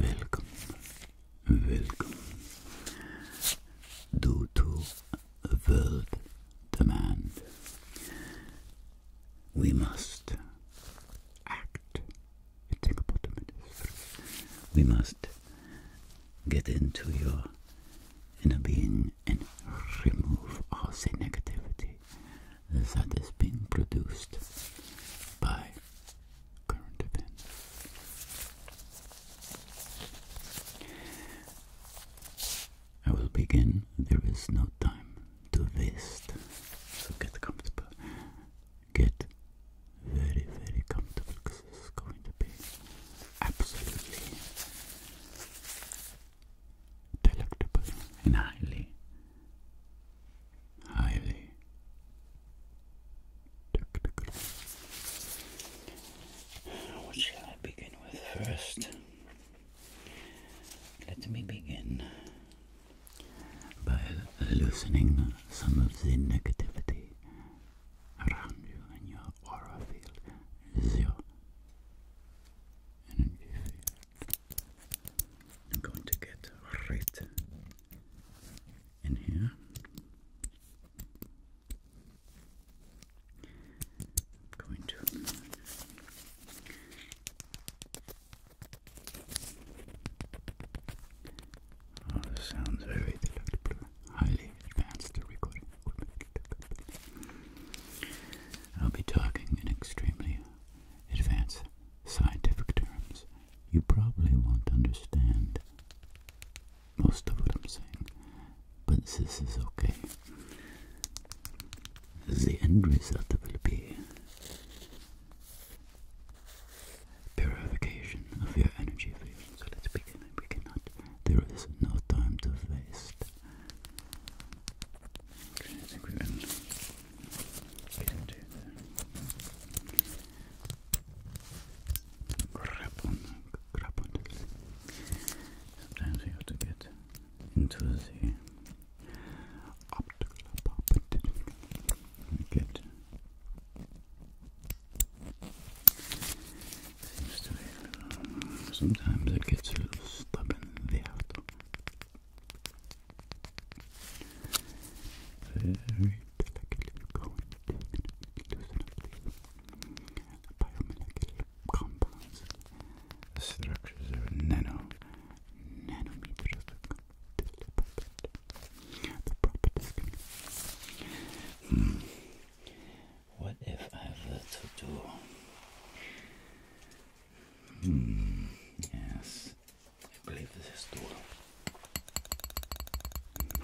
Welcome, welcome. Due to world demand, we must act. Think about the minutes. We must get into your inner being and remove all the negativity that is being produced by current events. I will begin. There is no time to waste, so get comfortable. Get very, very comfortable because this is going to be absolutely delectable highly, highly technical. What shall I begin with first? Let me begin by loosening some of the negativity around you in your aura field, as I'm going to get right in here. going to oh, sounds very highly advanced recording I'll be talking in extremely advanced scientific terms. You probably won't understand most of what I'm saying, but this is okay. The end result will be purification of your energy field. So let's begin. We cannot. There is no time to waste. Okay, grab on, grab on. Sometimes you have to get into the optical puppet. Get Seems to be a little, sometimes it gets a little stubborn there. Very delicately going loosen up the biomolecular compounds. The structures are nano, nanometers the properties. What if I were to do? Hmm, yes, I believe this is doable.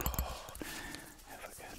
I forgot.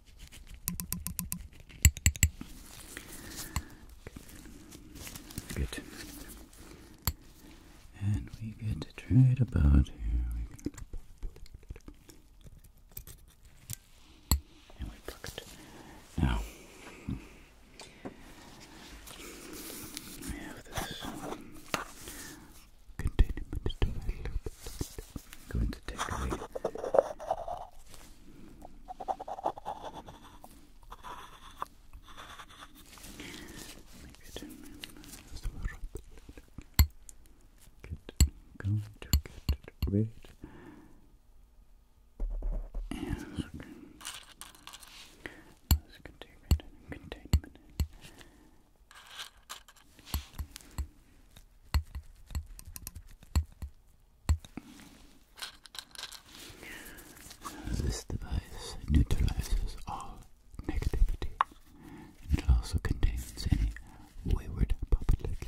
Good. And we get to try about here. and we pluck it. Now, we have this containment device. I'm going to take away Going to get rid and this containment containment this device neutralizes all negativity and it also contains any wayward popularity.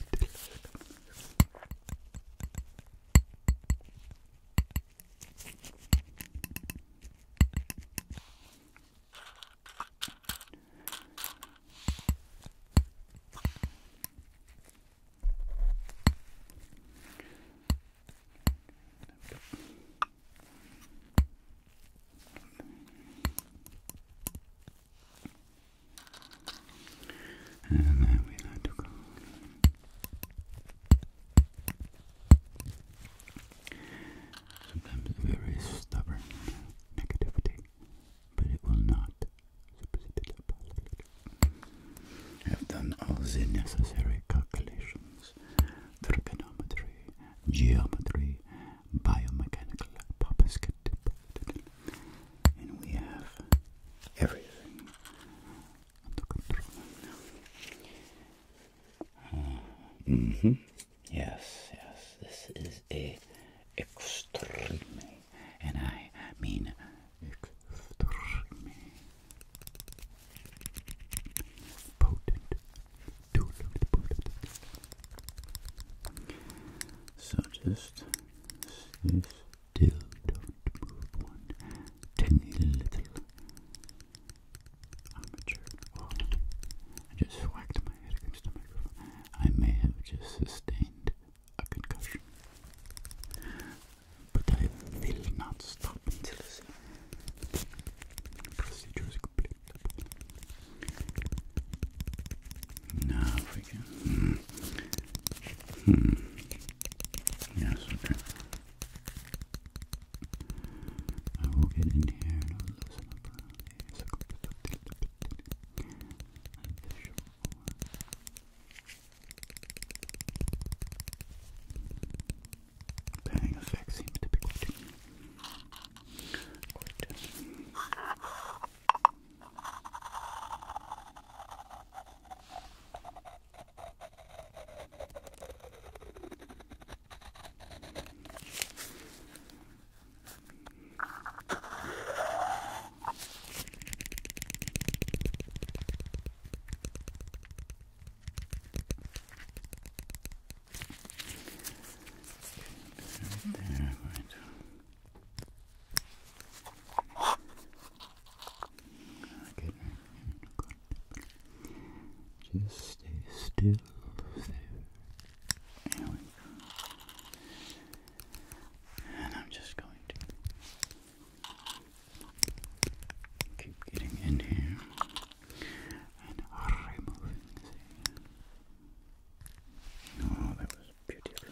And then we had to go. Sometimes very stubborn negativity but it will not I have done all the necessary calculations, trigonometry, geometry, biomechanical popsket, and we have everything Uh, mm-hmm. Yes, yes, this is a extremely, and I mean extremely potent, potent. So just still, don't move one tiny little armature. just whacked my head against the microphone. I may have just sustained a concussion. But I will not stop until this procedure is complete. Now we can. Hmm. Hmm. Yes, okay. I will get in here and i up Bang effect seems to be quite, quite there, right. Just stay still. There we go. And I'm just going to keep getting in here and removing Oh, that was beautiful.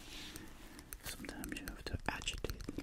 Sometimes you have to agitate the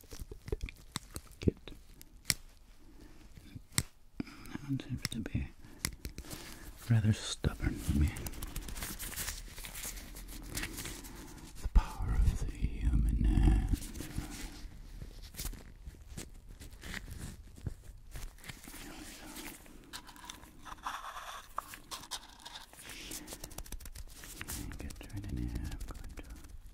Good. That seems to be rather stubborn me. The power of the human hand. Here we go.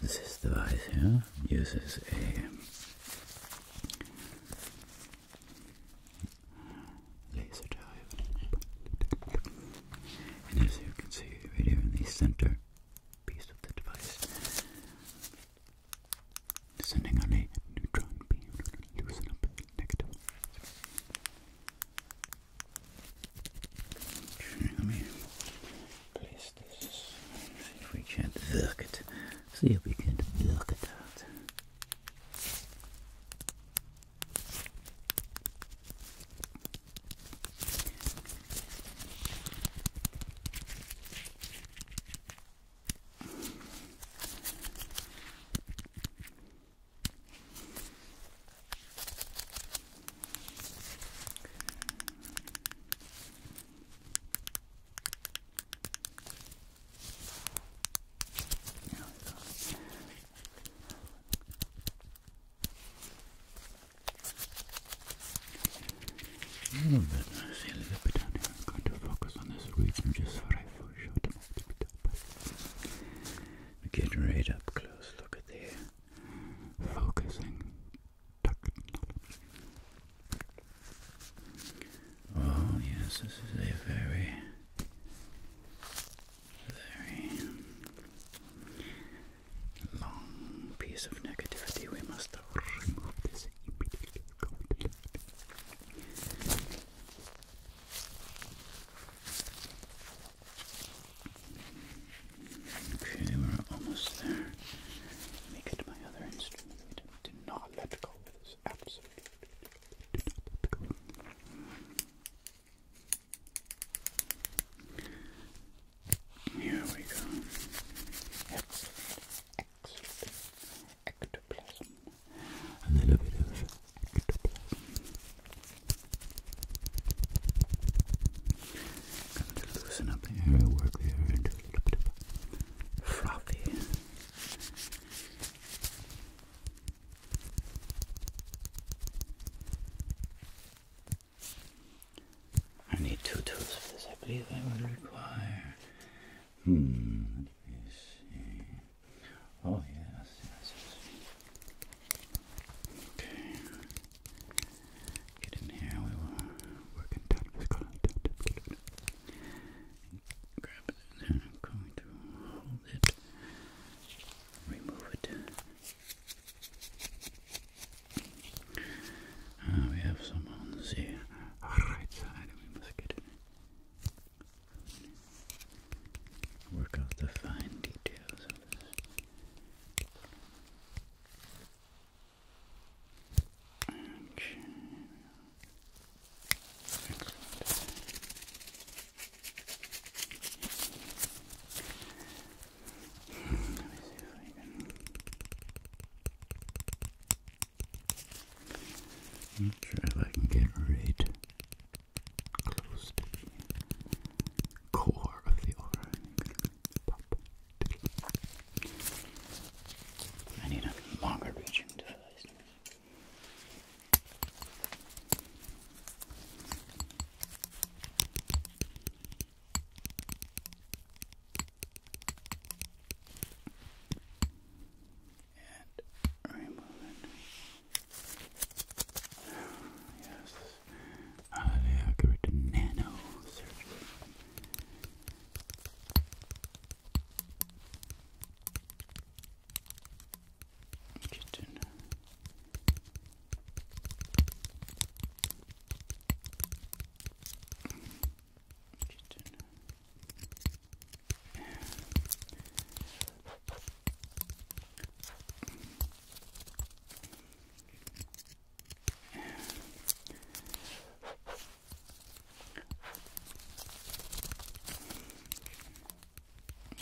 This device here uses a laser diode, and as you can see right here in the center piece of the device, sending on a neutron beam to loosen negative. Let me place this. See if we can work it. See if we can work it out. There we A little bit, a little bit I'm going to focus on this region just for a short amount of time. We get right up close, look at there focusing Oh, yes, this is a very, very long piece of negativity. We must remove this immediately. Okay, we're almost there. Let me get my other instrument. We not let go of this. Absolutely. Here we go. Excellent. Excellent. Ectoplasm. A little bit of ectoplasm. Going to loosen up the area, work the area into a little bit of frothy. I need two tools for this. I believe I will require. Hmm. Let me see. Oh yes, yes, yes. Okay. Get in here, we will work in tandem Grab it I'm going to hold it, remove it. Ah, we have some ones here. right side, we must get it. Work out the fine details I'm not sure if I can get rid close core of the aura. I need a longer reaching device. And remove it. Yes. Hallelujah. I'll go to nano surgery. Just in. Just in. Yeah.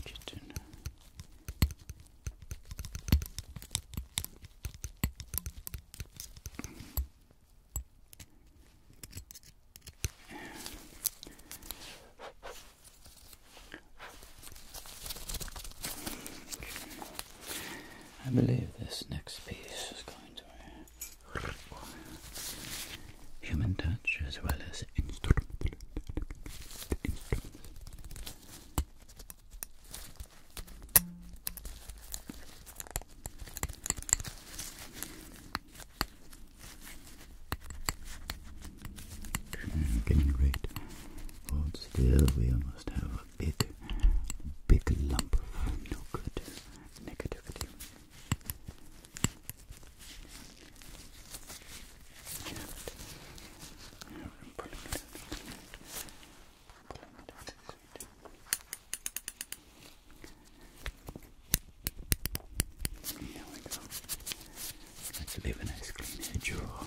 Kitten. I believe this next piece is going to require human touch as well as instrument. instrument. Getting great. Hold still, we almost have a big, big lump of no good negativity. Here we go. Let's leave a nice clean edge. Oh,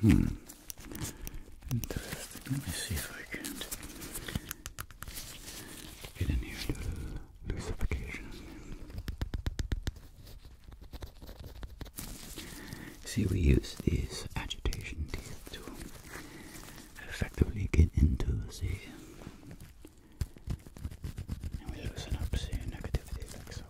Hmm. Interesting. Let me see if I can get in here to the lucification. See, we use these agitation teeth to effectively get into the. And we loosen up the negativity like so.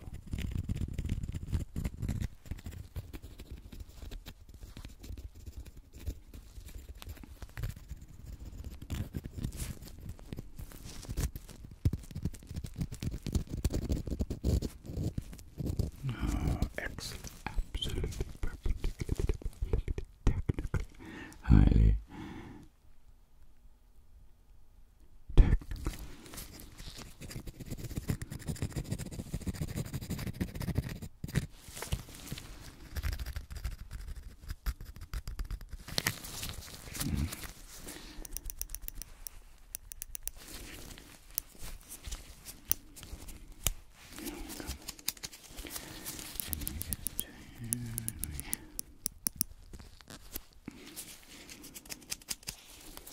Oh, excellent. Absolutely perfect. Technically. Highly. Technical. Mm. Mm-hmm. Here we go. And we get to here, and we... Let's focus.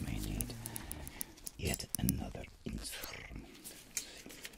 we may need yet another instrument.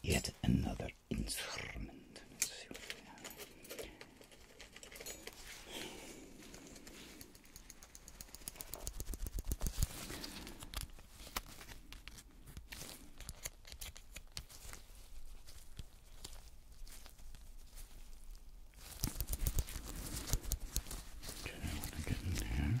yet another instrument. Okay, what I get in there.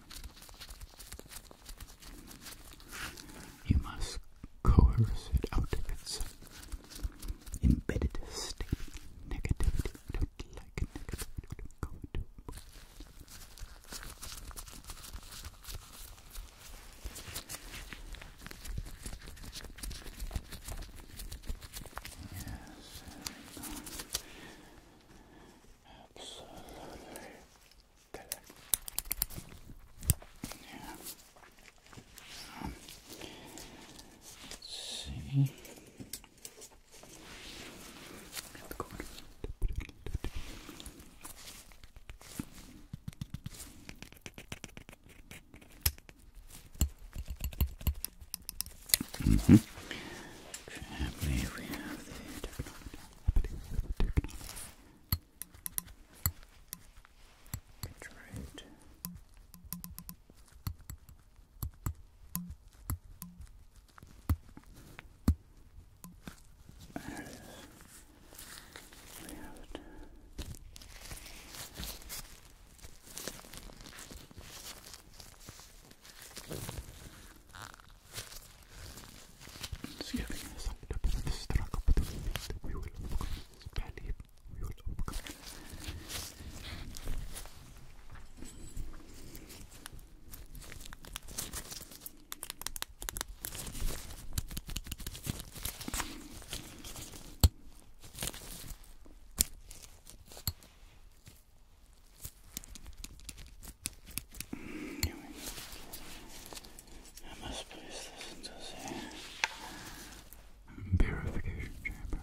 You must coerce it out of its embedded state. Negativity. negativity. Absolutely Yeah. Um, see. Mm -hmm. Family, we have the technology. technology. Get right. There it is. We have it. It's giving us a little bit of a struggle, but we will overcome this valley. We will overcome it. Here we go. I must place this into the purification chamber.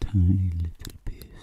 Tiny little pieces.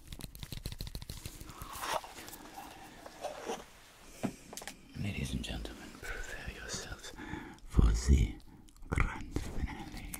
Ladies and gentlemen, prepare yourselves for the grand finale.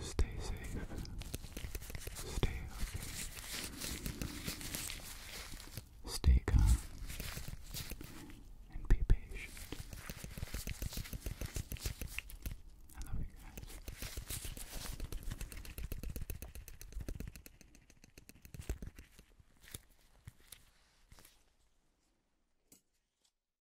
Stay safe. Stay healthy. Stay calm. And be patient. I love you guys.